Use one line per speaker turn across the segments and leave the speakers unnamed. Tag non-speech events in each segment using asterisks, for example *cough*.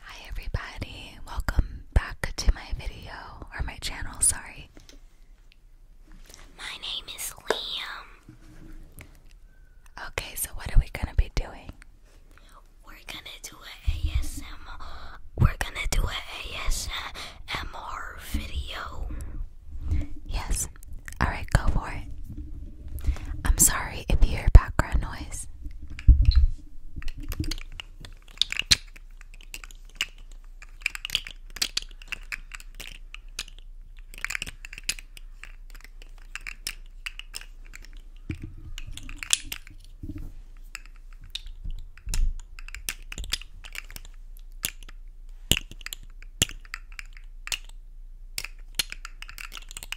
Hi everybody, welcome back to my video, or my channel, sorry. My name is Liam. Okay, so what are we gonna be doing?
We're gonna do an ASMR, we're gonna do an ASMR
video. Yes, alright, go for it. I'm sorry if you hear background noise.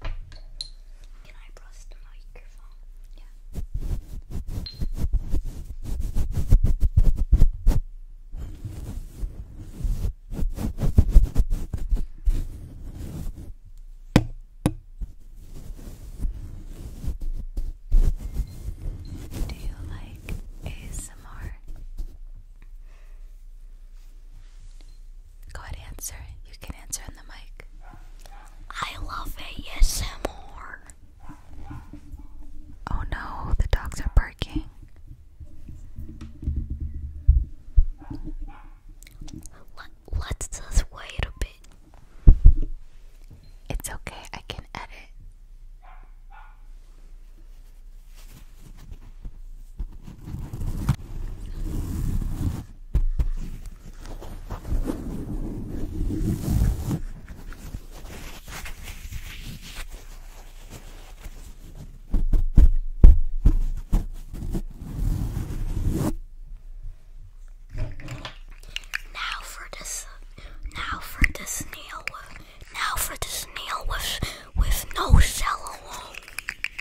Can I press the microphone? Yeah. Do you like ASMR? Go ahead, answer. You can answer on the mic. I love ASMR. Oh no, the dogs are barking. Let, let's just wait a bit. It's okay, I can edit.
Now for this, now for the snail, now for the snail with, with no shell. alone.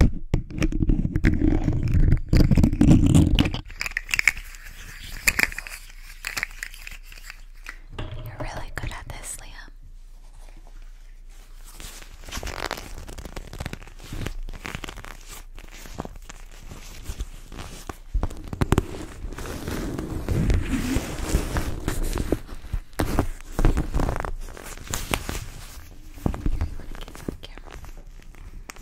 You're really good at this, Liam. Here, you want
to get on camera?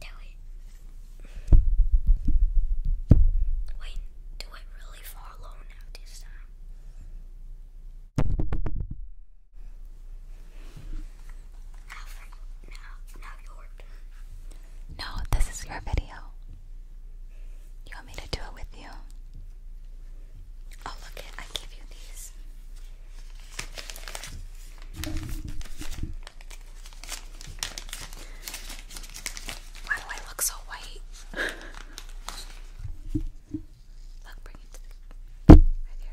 Do it. Wait, do it really fall low now this time? Alfred, now, now your turn. No, this is your video. You want me to do it with you? Oh, look I give you these. Why do I look so white? look, bring it right here.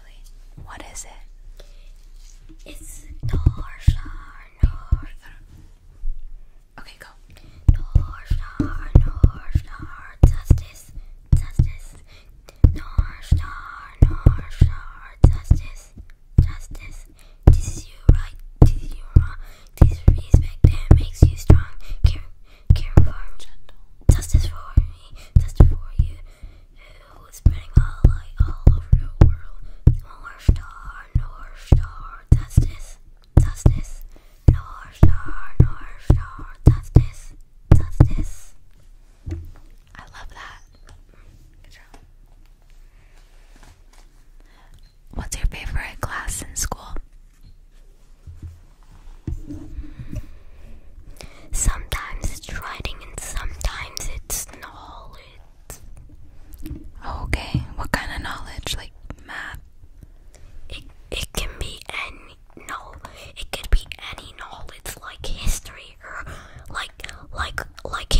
What is it? It's Torsha. Okay, go. Torsha, Torsha, justice, justice. Torsha, Torsha, justice, justice. This is you right, this is you wrong. This respect that makes you strong. Care, care gentle. Justice for me, justice for you who is spreading a light all over the world. North Star, North Star, justice, justice. North Star, North Star, justice, justice. I love that. Good job. What's your favorite class in school?
Hmm. Sometimes it's writing and sometimes
it's knowledge. Okay, what kind of knowledge? Like math? It, it can be any no, it could be any
knowledge like history or like like like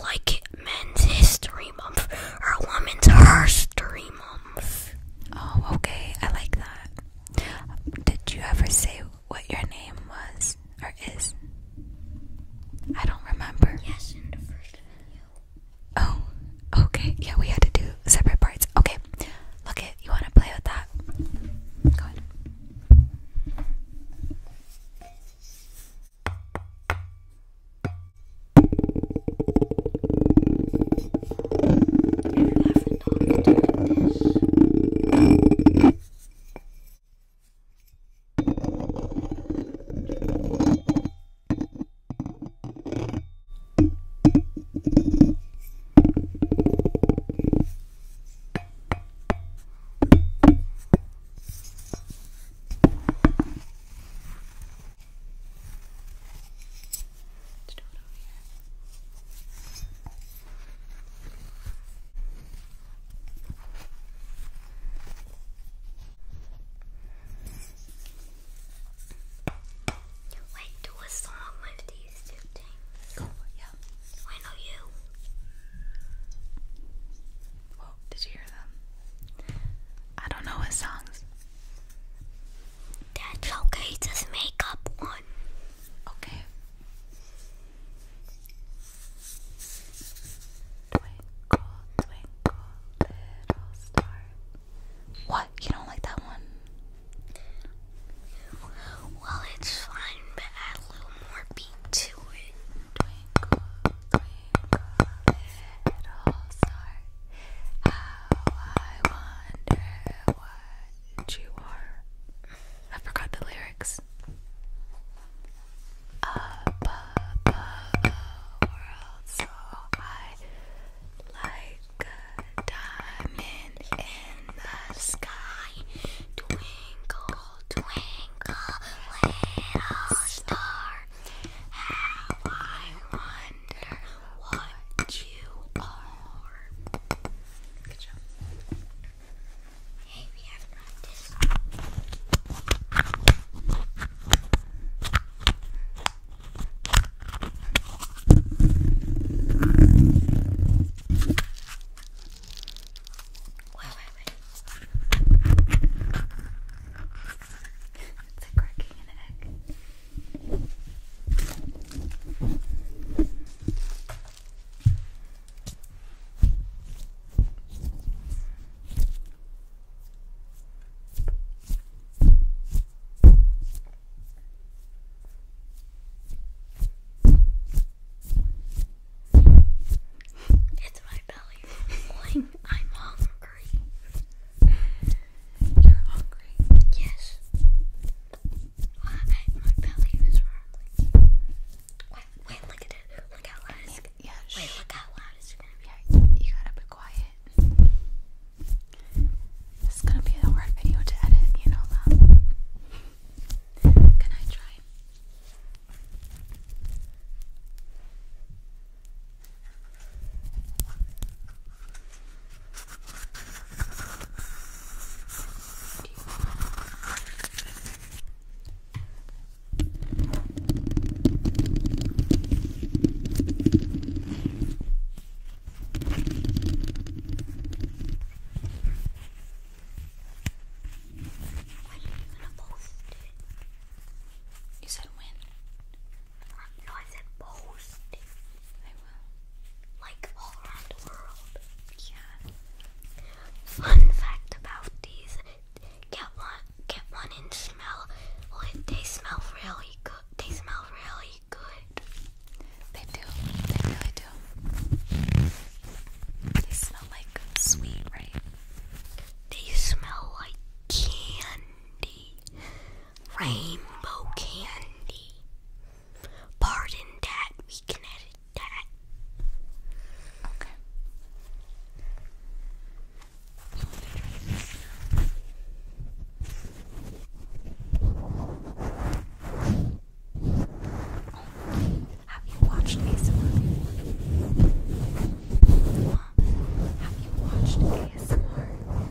like men's history month or women's history month. Oh, okay,
I like that. Did you ever say what your name was or is? I don't remember. Oh, okay. Yeah, we had to do separate parts. Okay, look it. You want to play with that? Let's do it over here. Wait, do a song with these two things. Oh, yeah. I know you. Whoa, did you hear them? I don't know what songs. That's okay, just make up one. Okay. Twinkle, twinkle, little star. What? You don't like that one? Well, it's fine, but add a little more beat to it. Twinkle, twinkle, little star. How I wonder what that you are. I forgot the lyrics.
above a world so high, like a diamond in the sky. Twinkle, twinkle, little star. How I wonder what you are. Good job. Hey, we have practice. Wait, it's like cracking an egg. It's my belly rumbling. *laughs* I'm hungry. You're hungry? Yes. My belly was rumbling. Wait, wait, look at it. Look how loud it's yeah, yeah, Wait, look how loud it's gonna be. Yeah, you gotta be quiet. This is gonna be a hard video to edit, you know that. Can I try? When are you gonna post it? You said when? No, I said post. I will. Like all around the world. Yeah. Fun fact about these: get one, get one, and smell. they smell really good. They smell really good. They do. They
really do. They smell like sweet, right?
They smell like candy, rainbow candy. Pardon that. We can edit that. Have you watched ASMR Have you watched ASMR?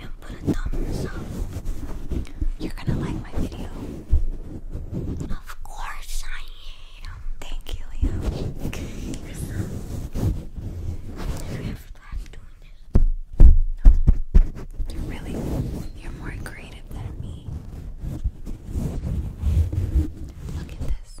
and put a thumbs up. You're gonna like my video. Of course I am. Thank you, Liam. Never have fun doing this. No. You're really, you're more creative than me. Look at this.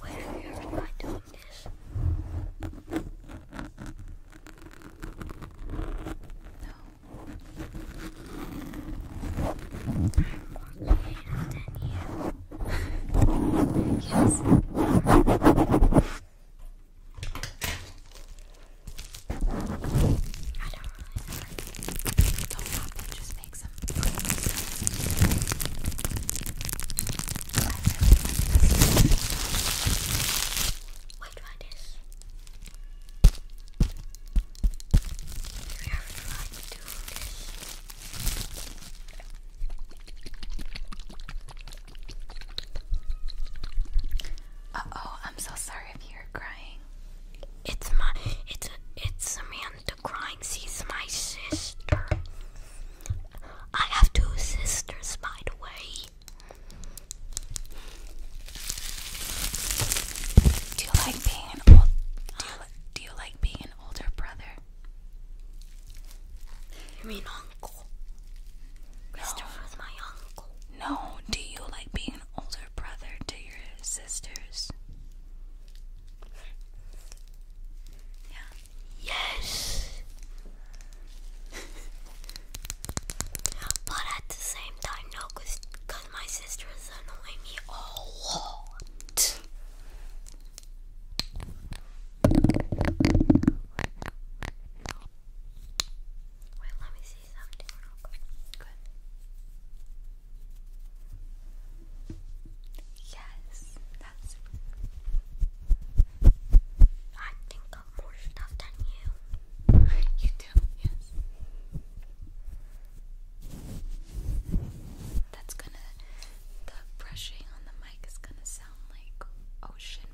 Why have you doing this? No. I'm more creative than yes. I don't really know. Don't pop just make some What do I do? We are trying to do this. Uh oh, I'm so sorry if you're crying. It's my
it's a, it's Samantha crying. She's my sister. I have two sisters, by the way.
Do you like being an Do do you like being an older brother? You mean uncle? No. Christopher's my uncle. No, do you like being an older brother to your sisters? Yeah. Yes. *laughs* but at the same time, no, cause, cause my sisters annoy me a lot. Wait, let me see something real quick. Good. Yes, that's. I think got more stuff than you. *laughs* You do, yes. That's gonna. The brushing on the mic is gonna sound like ocean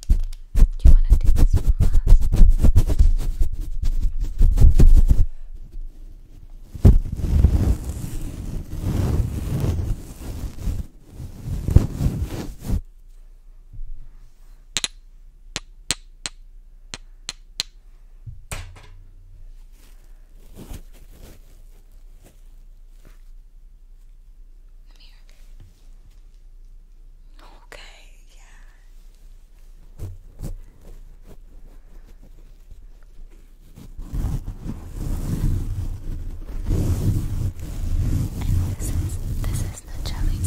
Do you want to do this one last?
Mirror. Okay, yeah. And this is this is the jelly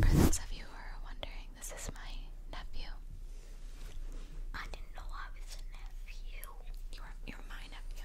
For those of you who are wondering, this is my nephew. I didn't know I was a nephew. You're you're my nephew.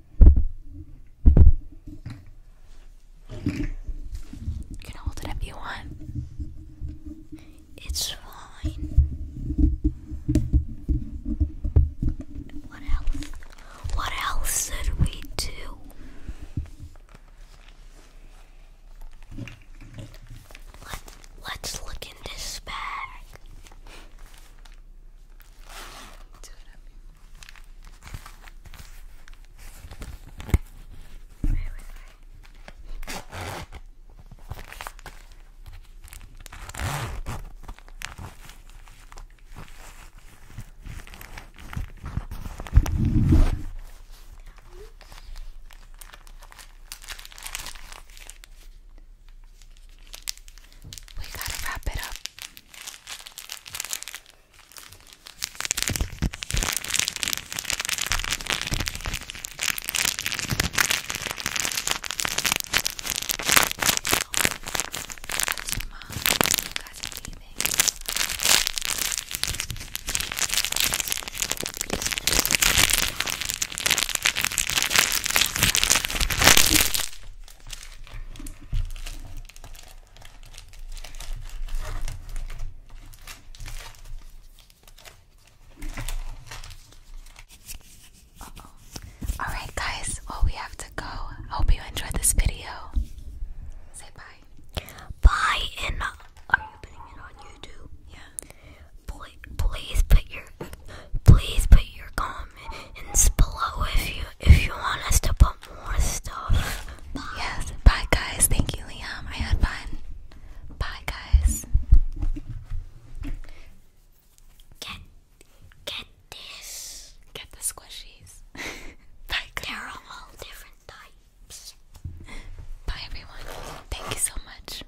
You can hold it if you want. It's fine.
What else? What else did we do? Let, let's look in this bag. Do it up here. Wait, wait, wait. We gotta wrap it up. Mom,
you guys are leaving. Uh All right, guys. Well, we have to go. Hope you enjoyed this video. Say bye. Bye, and uh, are you putting it on YouTube?
Yeah. Please, put your please put your comments below if you if you want us to put more stuff. Yes.
Bye guys. Thank you, Liam. I had fun. Bye guys. Get get this. Get the squishies. *laughs* Bye guys. They're all different types. Bye everyone. Thank you so much.